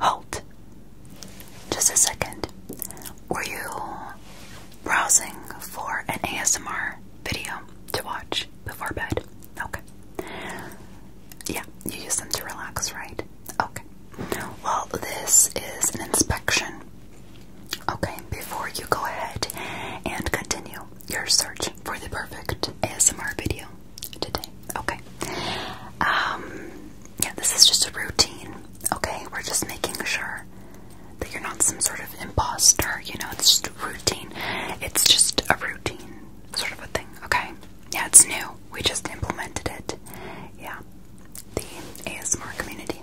Halt! Just a second. Were you browsing for an ASMR video to watch before bed? Okay. Yeah, you use them to relax, right? Okay. Well, this is an inspection. Okay, before you go ahead and continue, your search for the perfect ASMR video today. Okay. Um, yeah, this is just a routine. Okay, we're just making sure that you're not some sort of imposter. You know, it's just a routine. It's just a routine sort of a thing. Okay. Yeah, it's new. We just implemented it. Yeah, the ASMR community.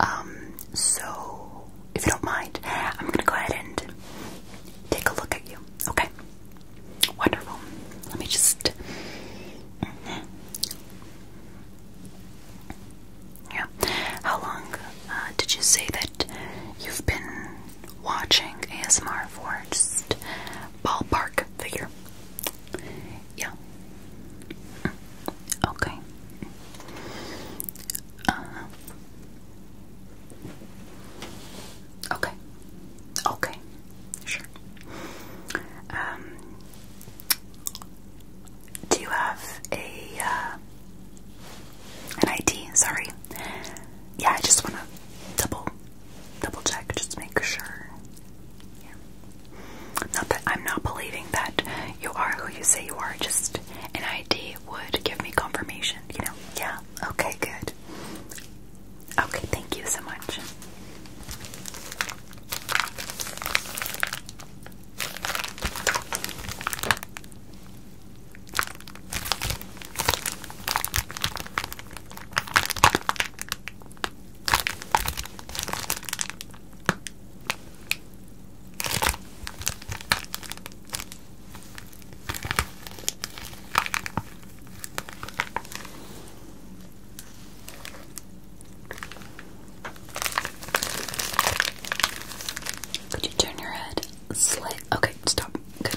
Um, so if you don't mind, I'm gonna go ahead and take a look at you. Okay. Wonderful. Let me just. Mm-hmm. Yeah. How long uh, did you say that you've been watching ASMR for? Just ballpark figure. Yeah. Mm-hmm. Okay. Uh, Okay. Okay. Sure. Um, do you have a uh, an ID? Sorry. Yeah, I just want to double double check, just make sure. Not that I'm not believing that you are who you say you are, just an ID would give me confirmation, you know? Yeah. Okay, good. Okay, thank you so much. Could you turn your head? Slight. Okay, stop. Good.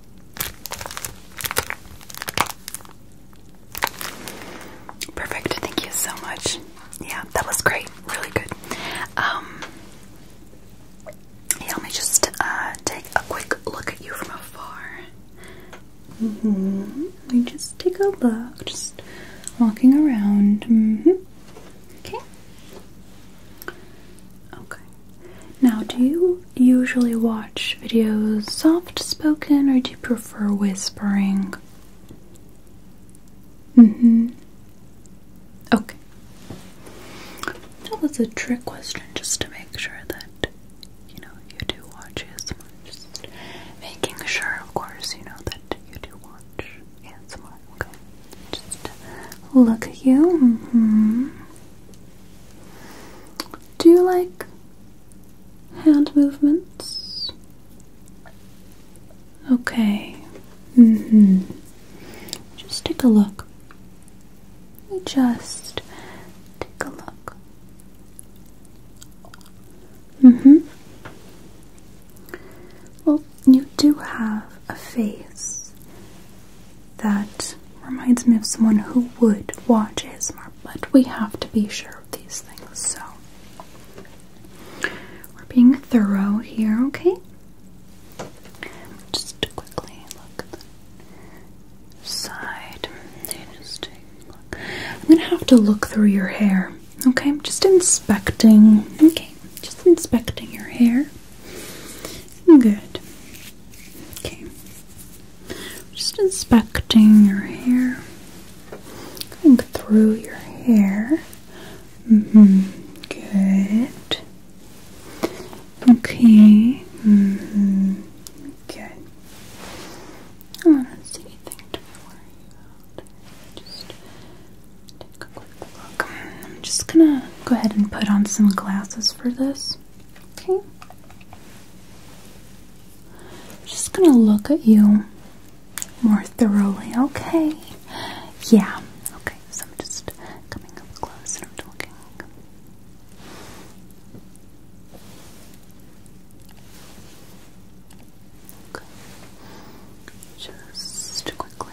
Perfect. Thank you so much. Yeah, that was great. Really good. Um, let me just uh, take a quick look at you from afar. Mm-hmm. Let me just take a look. Just walking around. Mm-hmm. Okay. Okay. Now, do you usually watch videos soft spoken or do you prefer whispering? Mm hmm. Okay. That was a trick question just to make sure that, you know, you do watch ASMR. Just making sure, of course, you know, that you do watch ASMR. Okay. Just look at you. Mm hmm. Do you like hand movements? Okay. Mm-hmm. Just take a look. Just take a look. Mm-hmm. Well, you do have a face that reminds me of someone who would watch his mark, but we have to be sure of these things, so we're being thorough here, okay? Just quickly look at the side. I'm gonna have to look through your hair, okay? I'm just inspecting, okay? Just inspecting your hair. Good. Okay. Just inspecting your hair, going through your hair. Mm-hmm. Good. Okay. Mm-hmm. Good. I don't see anything to worry about. Just take a quick look. I'm just gonna go ahead and put on some glasses for this. Okay. I'm just gonna look at you more thoroughly. Okay. Yeah. Okay. So I'm just coming up close and I'm talking. Okay. Just quickly.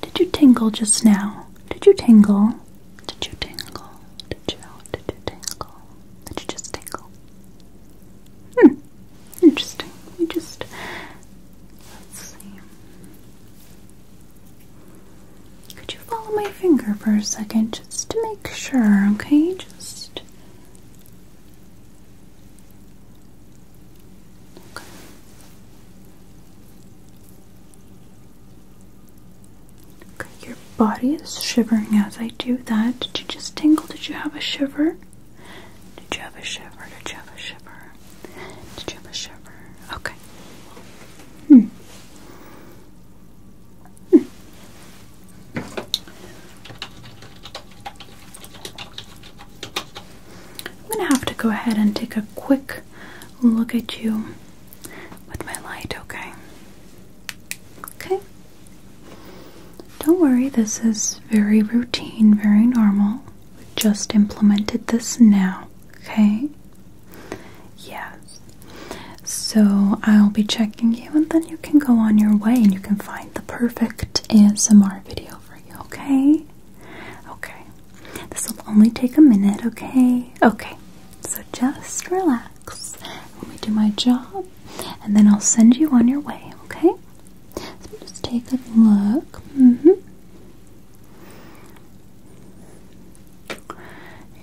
Did you tingle just now? Did you tingle? Did you tingle? Did you? Did you tingle? Did you just tingle? Hmm. Interesting. We just let's see. Could you follow my finger for a second just to make sure, okay? Just okay. Okay, your body is shivering as I do that. Did you just tingle? Did you have a shiver? Did you have a shiver? Did you have a shiver? Did you have a shiver? Okay. Hmm. Hmm. I'm going to have to go ahead and take a quick look at you with my light, okay? Okay. Don't worry, this is very routine, very normal. We just implemented this now, okay? Yes. So I'll be checking you and then you can go on your way and you can find the perfect ASMR video for you, okay? Okay. This will only take a minute, okay? Okay, so just relax. Let me do my job and then I'll send you on your way, okay? So just take a look. Mm-hmm.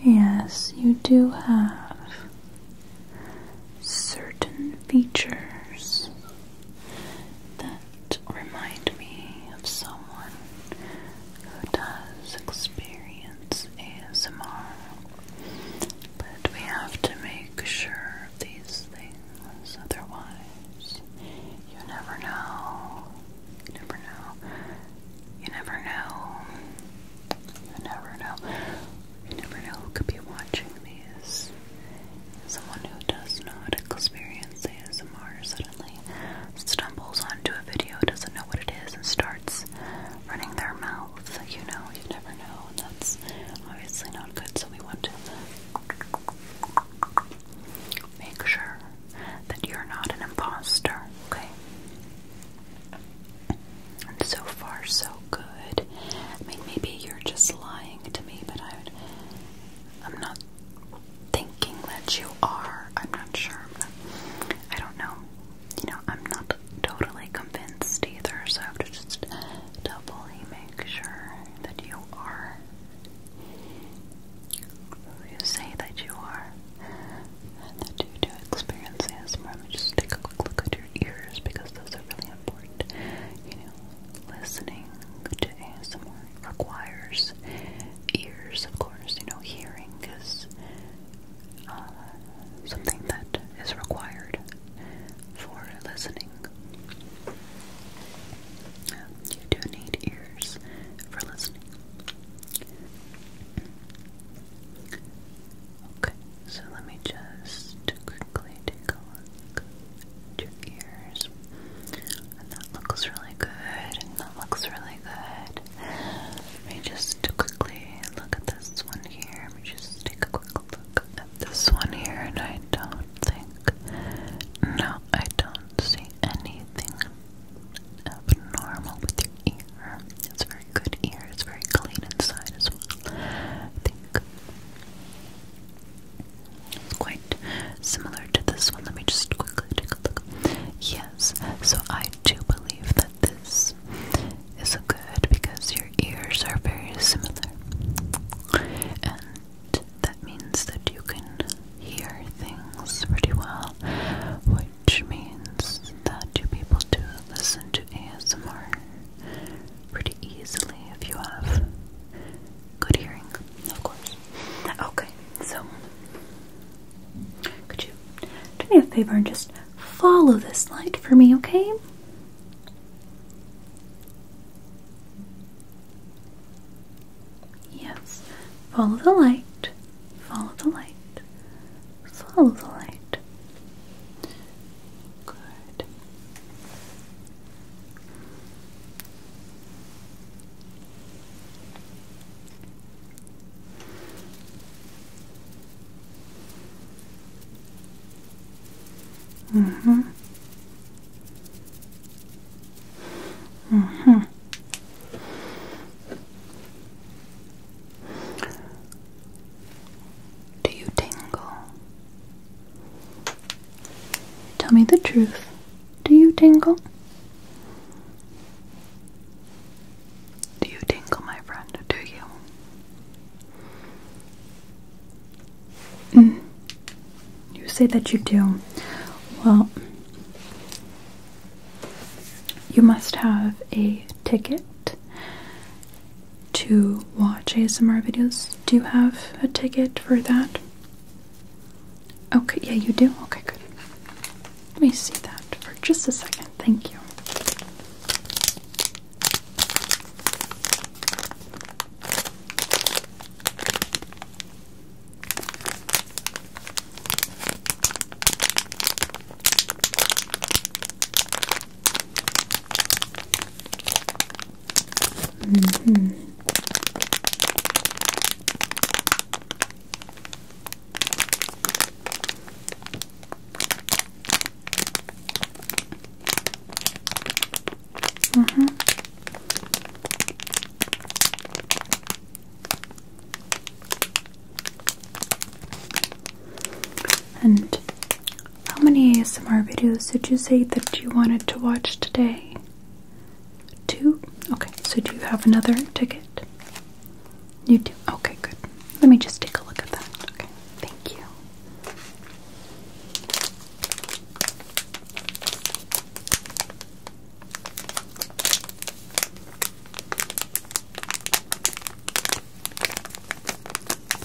Yes, you do have certain features remind me of someone who does experience ASMR, but we have to make sure of these things, otherwise, you never know. never know. You never know. You never know. You never know who could be watching these. Someone who does not experience ASMR suddenly stumbles onto a video, doesn't know what it is, and starts running their mouth. You know, you never know, and that's obviously not good. So we want to make sure that you're not an imposter, okay? And so far, so good. I mean, maybe you're just lying to me, but I would. I'm not thinking that you are. I'm not sure. I don't know. You know, I'm not totally convinced either, so I have to just doubly make sure that you are. You say that you are, and that you do experience ASMR. Let me just take a quick look at your ears because those are really important. You know, listening to ASMR requires ears, of course. You know, hearing is uh, something that is required for listening. You do need ears for listening. Okay, so let me just quickly take a look your ears. And that looks really good, and that looks really good. Let me just quickly look at this one here. Let me just take a quick look at this one here, and I don't think, no, I don't see anything abnormal with your ear. It's very good ear, it's very clean inside as well. I think it's quite similar to this one. Let me just quickly take a look. Yes, so I do believe that this is good because your ears are very similar. And that means that you can hear things pretty well, which means that you people do able to listen to ASMR pretty easily if you have Good hearing, of course. Okay, so could you do me a favor and just follow this light for me, okay? Yes, follow the light, follow the light, follow the light. Good. Mm-hmm. Mm-hmm. Do you tingle? Tell me the truth. Do you tingle? Do you tingle, my friend? Do you? Mm. You say that you do. Well, you must have a ticket to watch ASMR videos. Do you have a ticket for that? Okay, yeah, you do? Okay, good. Let me see that for just a second. Thank you. Mm -hmm. Uh huh. And how many ASMR videos did you say that you wanted to watch today? Two? Okay, so do you have another ticket? You do? Okay, good. Let me just take a look at that. Okay, thank you.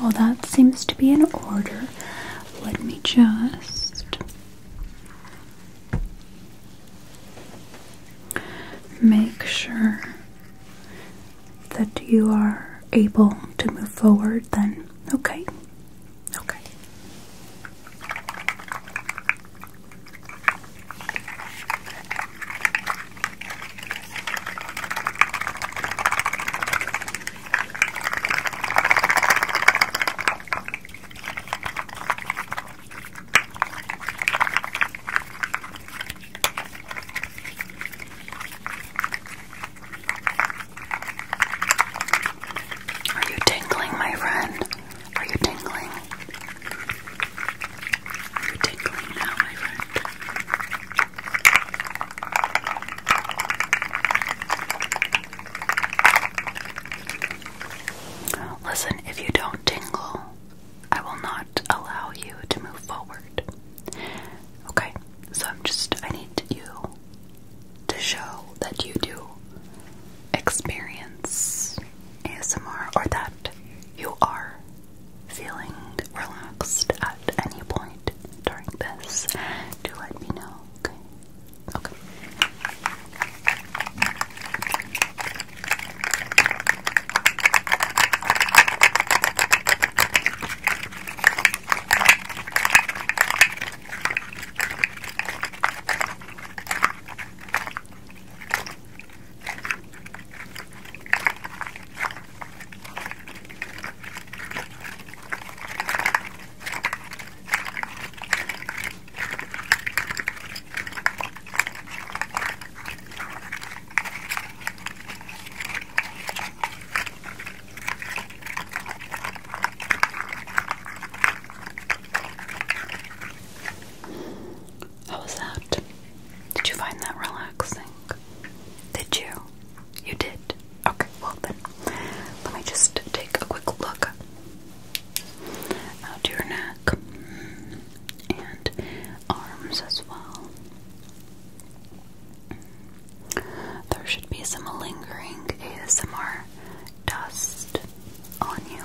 well, that seems to be in order. Let me just make sure that you are able to move forward then. Okay. Okay. Are you tingling, my friend? Are you tingling? Are you tingling now, my friend? Listen, if you don't tingle, I will not allow you to move forward. Okay, so I'm just, I need you to show that you do experience ASMR or that you are feeling relaxed at any point mind during this to let me know, Okay. Okay. How was that? Did you find that relaxing? Did you? You did. Okay, well then, let me just take a quick look out your neck and arms as well. There should be some lingering ASMR dust on you.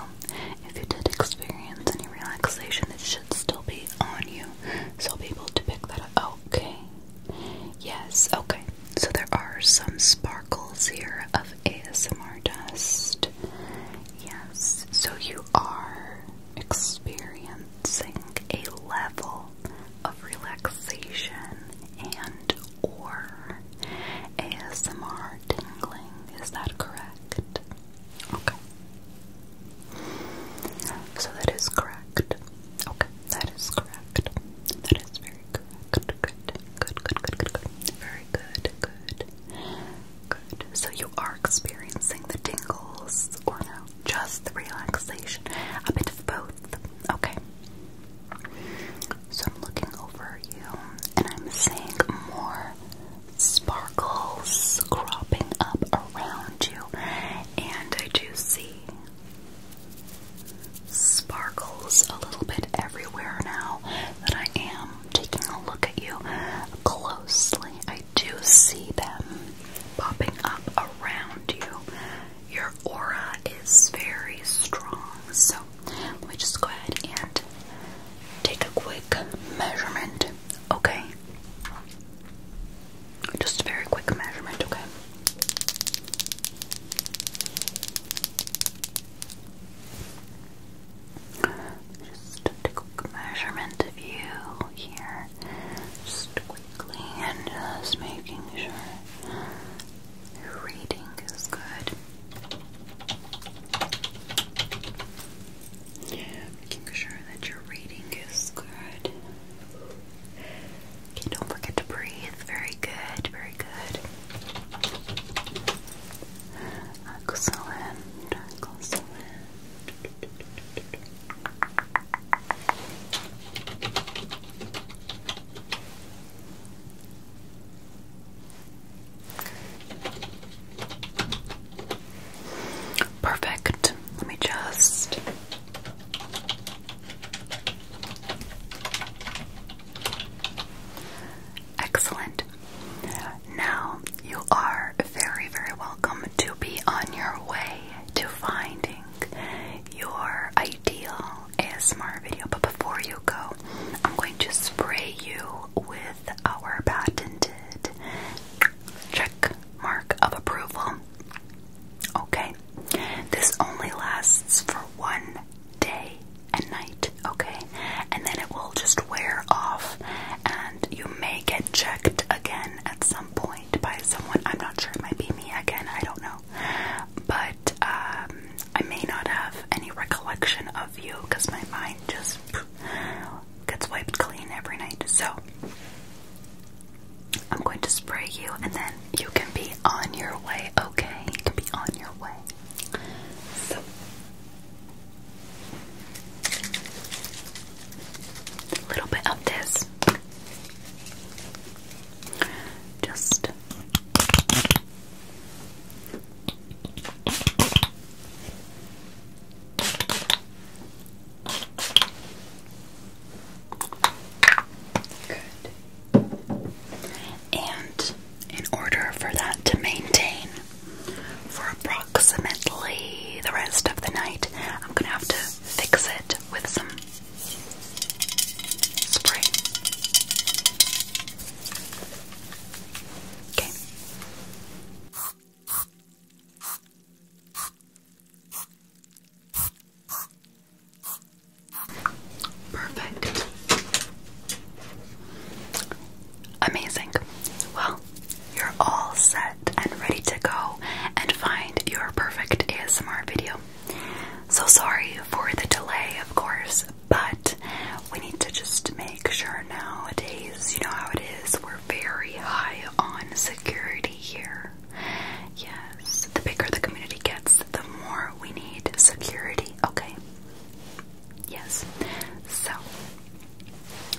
If you did experience any relaxation, it should still be on you, so be able to pick that up. Okay, Yes, okay. So there are some sparkles here of ASMR dust. Yes, so you are experiencing a level of relaxation and or ASMR tingling. Is that correct? Okay. So that is correct. Okay, that is correct. That is very correct. Good, good, good, good, good, good. Very good, good, good. So you are experiencing the tingles, or no, just the relaxation. A bit of both. Okay. So I'm looking over you, and I'm seeing more sparkles cropping up around and I do see sparkles a little bit everywhere now that I am taking a look at you closely. I do see them popping up around you. Your aura is very strong, so we me just go ahead and take a quick measurement, okay? Just a very quick measurement, okay? Just a quick measurement of you here. Just quickly and just making sure your reading is good making sure that your reading is good. Okay, don't forget to breathe. Very good, very good. Excellent, excellent. Perfect. Let me just. Excellent. Now you are very, very welcome to be on your way to finding your ideal ASMR video. But before you go, I'm going to spray you with our patented check mark of approval. Okay, this only lasts for one day and night, okay? And then it will just wear off, and you may get checked again at some point by someone. I'm not sure, it might be me again, I don't know. But um, I may not have any recollection of you because my mind just gets wiped clean every night. So I'm going to spray you and then you can be on your way, okay? to be on your way. So a little bit of this. Just Good. And in order for that to maintain for approximately the rest of the night, I'm going to have to fix it with some spray. Okay. Perfect. Amazing. Well, you're all set and ready to go and find your perfect ASMR video. So sorry for the delay, of course, but we need to just make sure nowadays, you know how it is, we're very high on security here. Yes, the bigger the community gets, the more we need security, okay? Yes. So,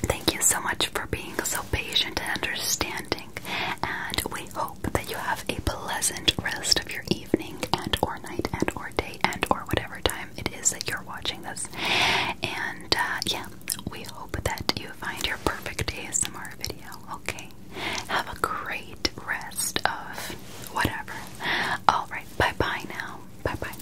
thank you so much for being so patient and understanding, and we hope that you have a pleasant rest of your evening and or night and or day and or whatever time it is that you're watching this. And uh, yeah, we hope that you find your perfect ASMR video, okay? Have a great rest of whatever. Alright, bye bye now. Bye bye.